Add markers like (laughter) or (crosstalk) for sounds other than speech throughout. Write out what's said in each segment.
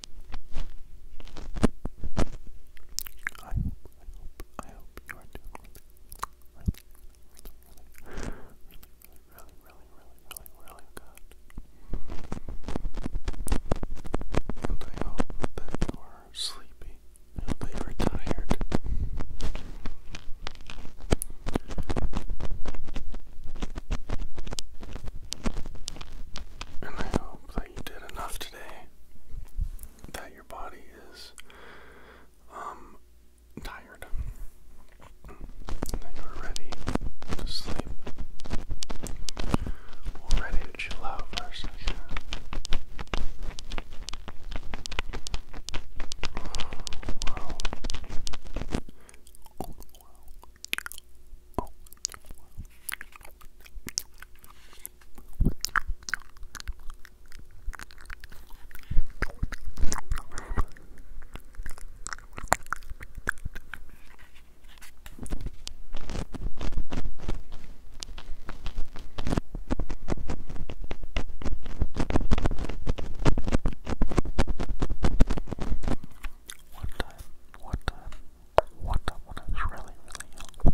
I hope, I hope, I hope you are doing really, really, really, really, really, really, good. And I hope that you are sleepy. I that you are tired. And I hope that you did enough today that your body is um, tired that you're ready to sleep or ready to chill out for a second. One time, one time, one when I was really, really young.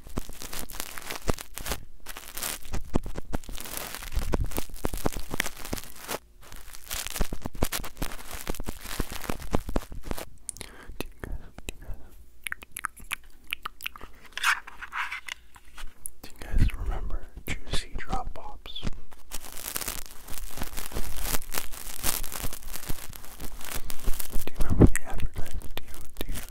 Do you guys remember juicy drop pops? Do you remember the advertisement? Do you, do you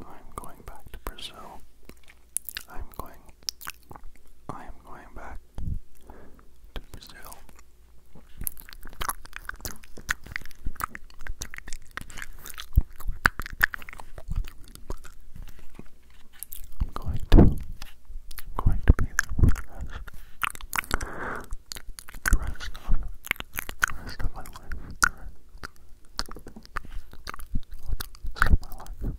I'm going back to Brazil. I'm going I am going back to Brazil. I'm going to, I'm going to be there for the rest, the rest of, the rest of my life, the rest of my life.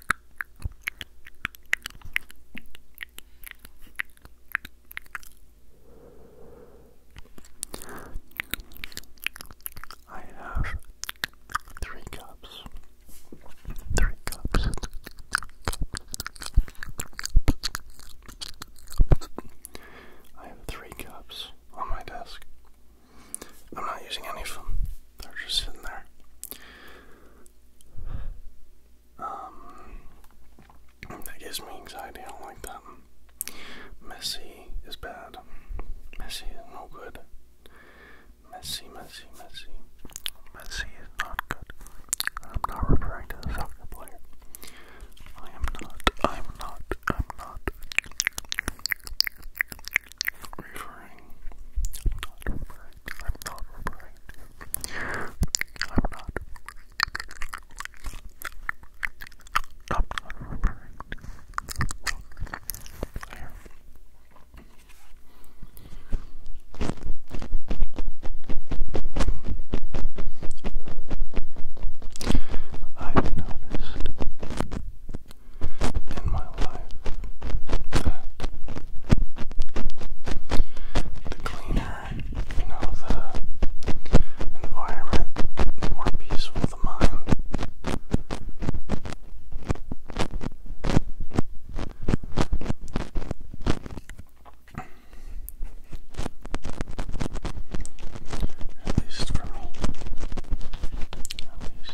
I have three cups. Three cups. I have three cups on my desk. I'm not using any of them. They're just sitting there. Um, that gives me anxiety. I don't like that. Messy is bad. Messy is no good. Messy, messy, messy. Messy is not good. I'm not referring to the soccer player. I am not. I'm not. I'm not referring. I'm not referring. I'm not referring. I'm not. I'm not referring. Here. I've noticed in my life the cleaner, you know, the environment, the more peaceful the mind. At least At least.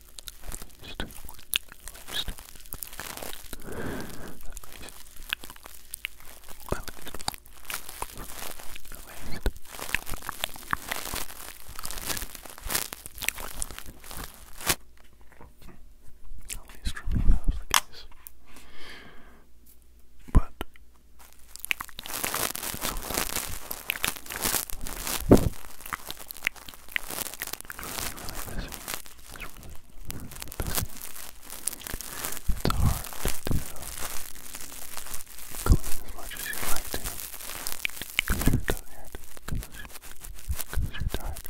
east, east, at least for me that was the case. But really, really busy. It's really, really busy. It's hard to clean as much as you'd like to because you're tired. Because you're tired.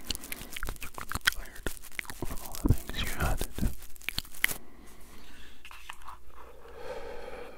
Because you're tired from all the things you had to do.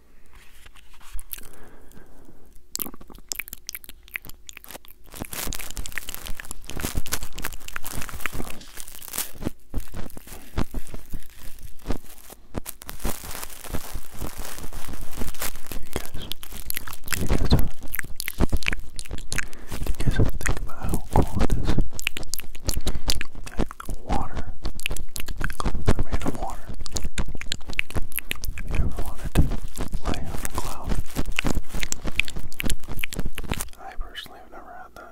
You guys, you guys are. You guys ever think about how cool it is water, that made of water, you ever wanted to lay on a cloud? I personally have never had that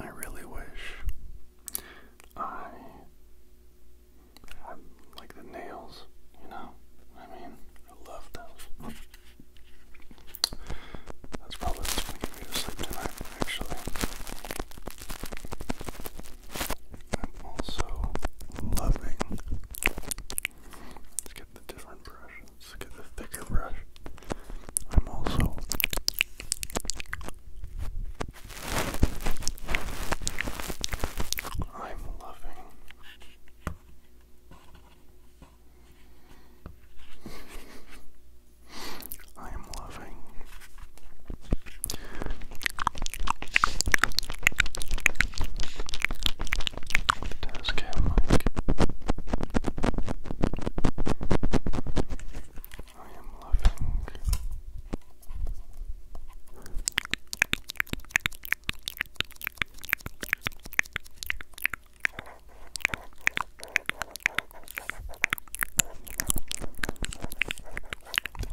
I really wish I like the nails, you know? I mean, I love those. That's probably what's gonna get me to sleep tonight, actually. I'm also loving. Let's get the different brushes. Let's the thicker brush. I'm also I'm loving I am loving the task I am loving the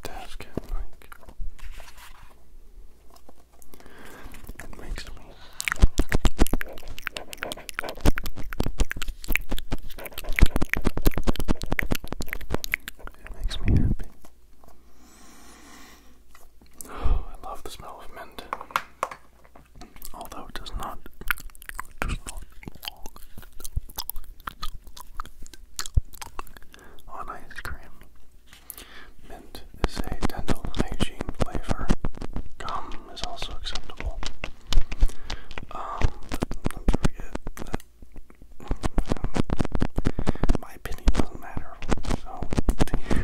task at like it makes me it makes me happy. (gasps) I love the smell of mint. Although it does not, it does not on ice cream. Mint is a dental hygiene flavor. Gum is also acceptable. Um, don't forget that um, my opinion doesn't matter. So (laughs) you.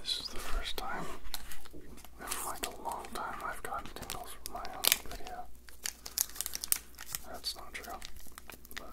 This is the first time in like a long time I've gotten tingles from my own video. That's not true. But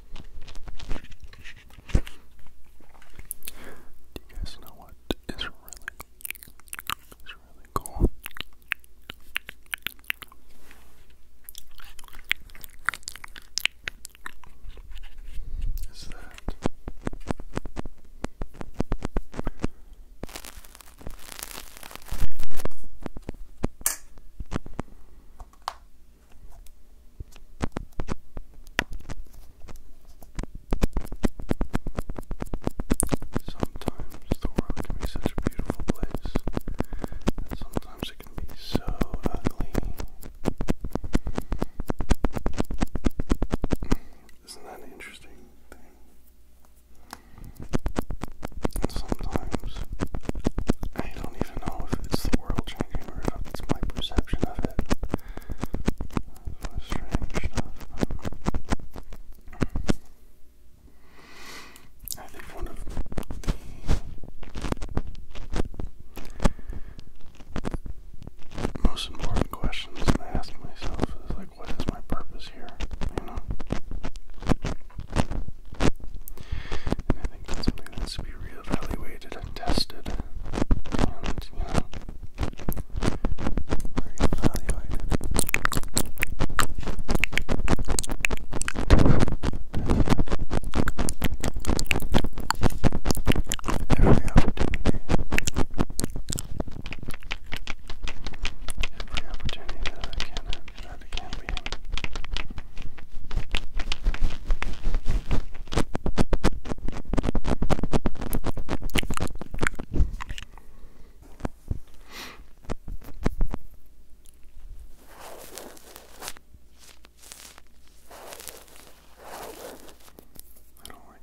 Do you guys know what is really, is really cool? Is that Sometimes the world can be such a beautiful place, sometimes it can be so ugly. Isn't that an interesting thing? sometimes I don't even know if it's the world changing or if it's my perception of it. It's strange stuff. I think one of the most important questions I ask myself is like, what is my purpose here? You know? I think that's something that needs to be reevaluated and tested. And, you know, Every opportunity that I can I don't like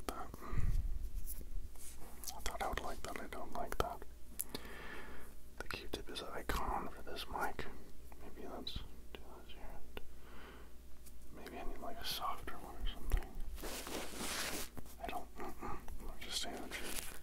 that. I thought I would like that. I don't like that the is icon for this mic. Maybe let's do this Maybe I need like a softer one or something. I don't. Mm I'm just saying mm-hmm. bro.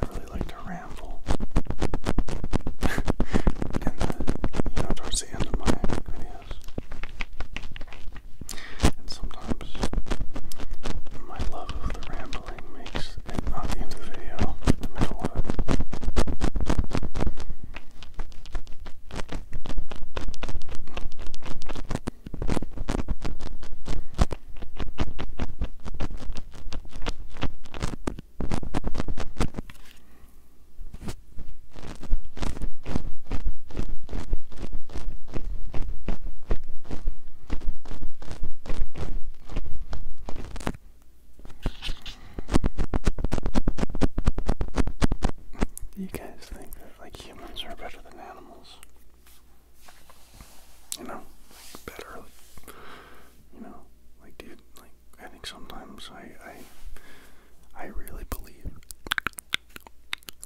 I really like to ramble. (laughs) and, uh, you know, towards the end of my videos, and sometimes my love of rambling makes it not the end of the video, do guys think that like humans are better than animals? You know, better. you know, like dude, like I think sometimes I I I really believe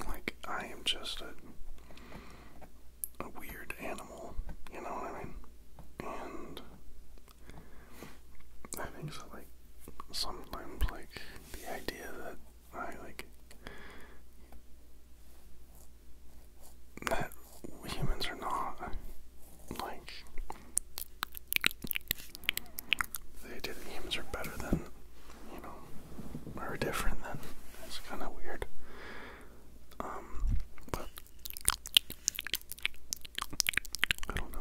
like, I am just a, a weird animal, you know what I mean? And I think so, like, sometimes, like, the idea that I, like, that humans are not, like, they did games are better than, you know, are different than. It's kind of weird. Um, but I don't know.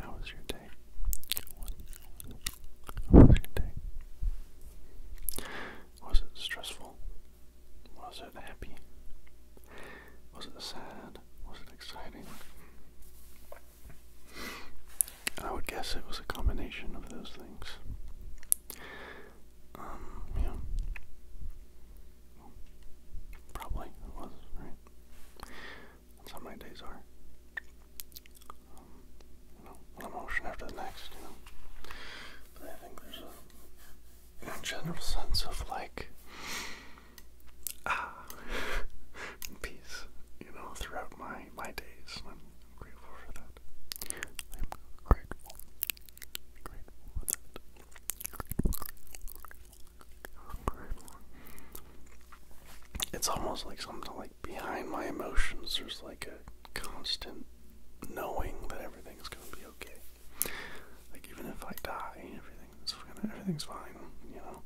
How was your day? How was your day? Was it stressful? Was it happy? Was it sad? Was it exciting? I would guess it was a combination of those things. Um, yeah. Probably it was, right? That's how my days are. Um, you know, one emotion after the next, you know. But I think there's a general sense of like ah, (laughs) peace, you know, throughout my, my days. I'm grateful for that. I'm grateful. Grateful for that. It's almost like something like behind my emotions there's like a constant knowing that everything's gonna be okay. Like even if I die, everything's gonna everything's fine, you know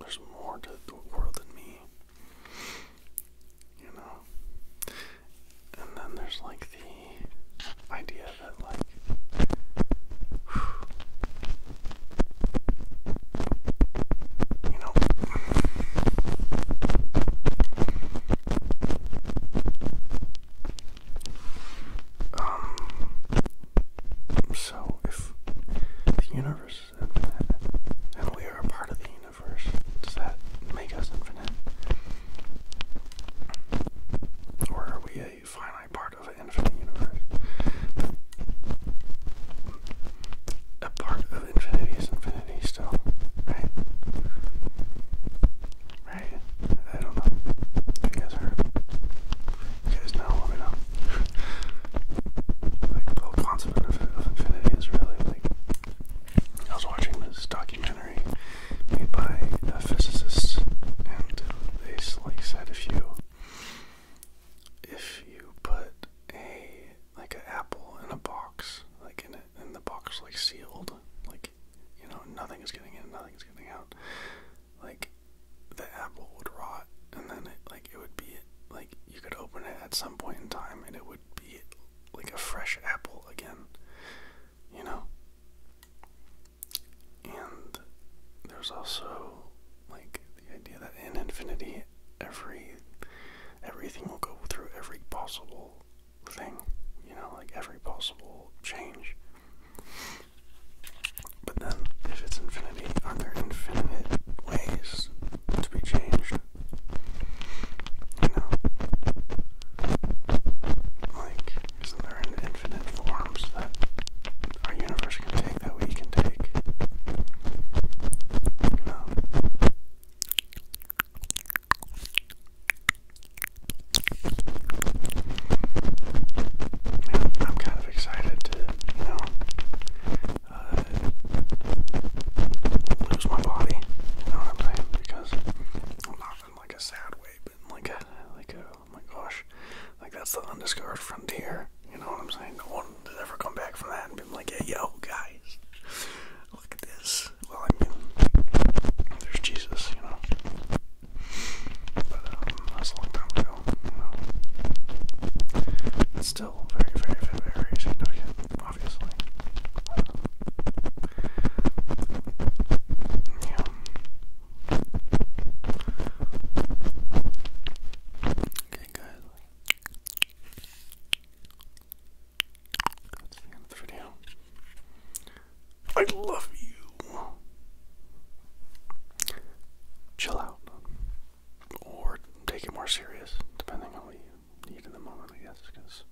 there's more to the world than me. You know? And then there's like the idea that, like, you know, um, so, if the universe is infinite and we are a part of the universe, does that make us infinite? Or are we a finite part of an infinite universe? a part of infinity is infinity still, right? Right? I don't know if you guys you guys know, let me know. (laughs) like the concept of infinity is really like I was watching this documentary made by a physicist, and they like said if you if you put a like an apple in a box, like in it, and the box like sealed, like you know nothing is getting in, nothing is getting out like the apple would rot and then it like it would be like you could open it at some point in time and it would be like a fresh apple again you know and there's also like the idea that in infinity every everything will go through every possible thing you know like every possible change but then, if it's infinity, are there infinite ways to be changed? You Like, isn't there infinite forms that our universe can take, that we can take? You I'm kind of excited to you know, uh, lose my body. You know what I'm saying? Because I'm not in like a sad way, but like a like a oh my gosh, like that's the undiscovered frontier. You know what I'm saying? No one has ever come back from that and been like, hey, yo, guys, look at this. Well, I mean, there's Jesus, you know. But um, that's a long time No. It's still very, very, very, very obviously. yeah. Okay, guys. That's the end video. I love you chill out or take it more serious, depending on what you need in the moment, I guess, because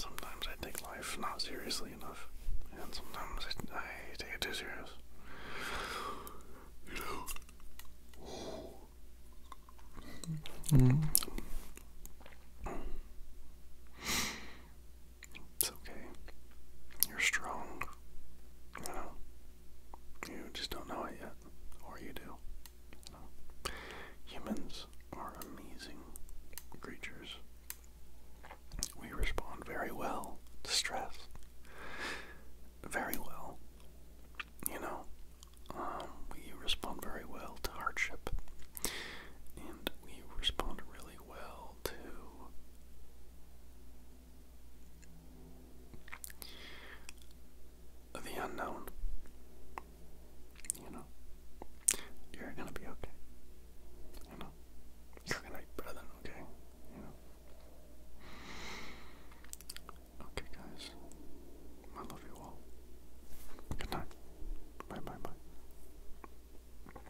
sometimes I take life not seriously enough, and sometimes I, take it too serious. Mm. It's okay. You're strong. You know. You just don't know it yet. Or you do. Humans are amazing creatures. We respond very well to stress. Very well. You know. Um, we respond very well to hardship. And we respond really well well The unknown. You know, you're gonna be okay. You know, you're gonna be better than okay. You know. Okay, guys. I love you all. Good night. Bye, bye, bye.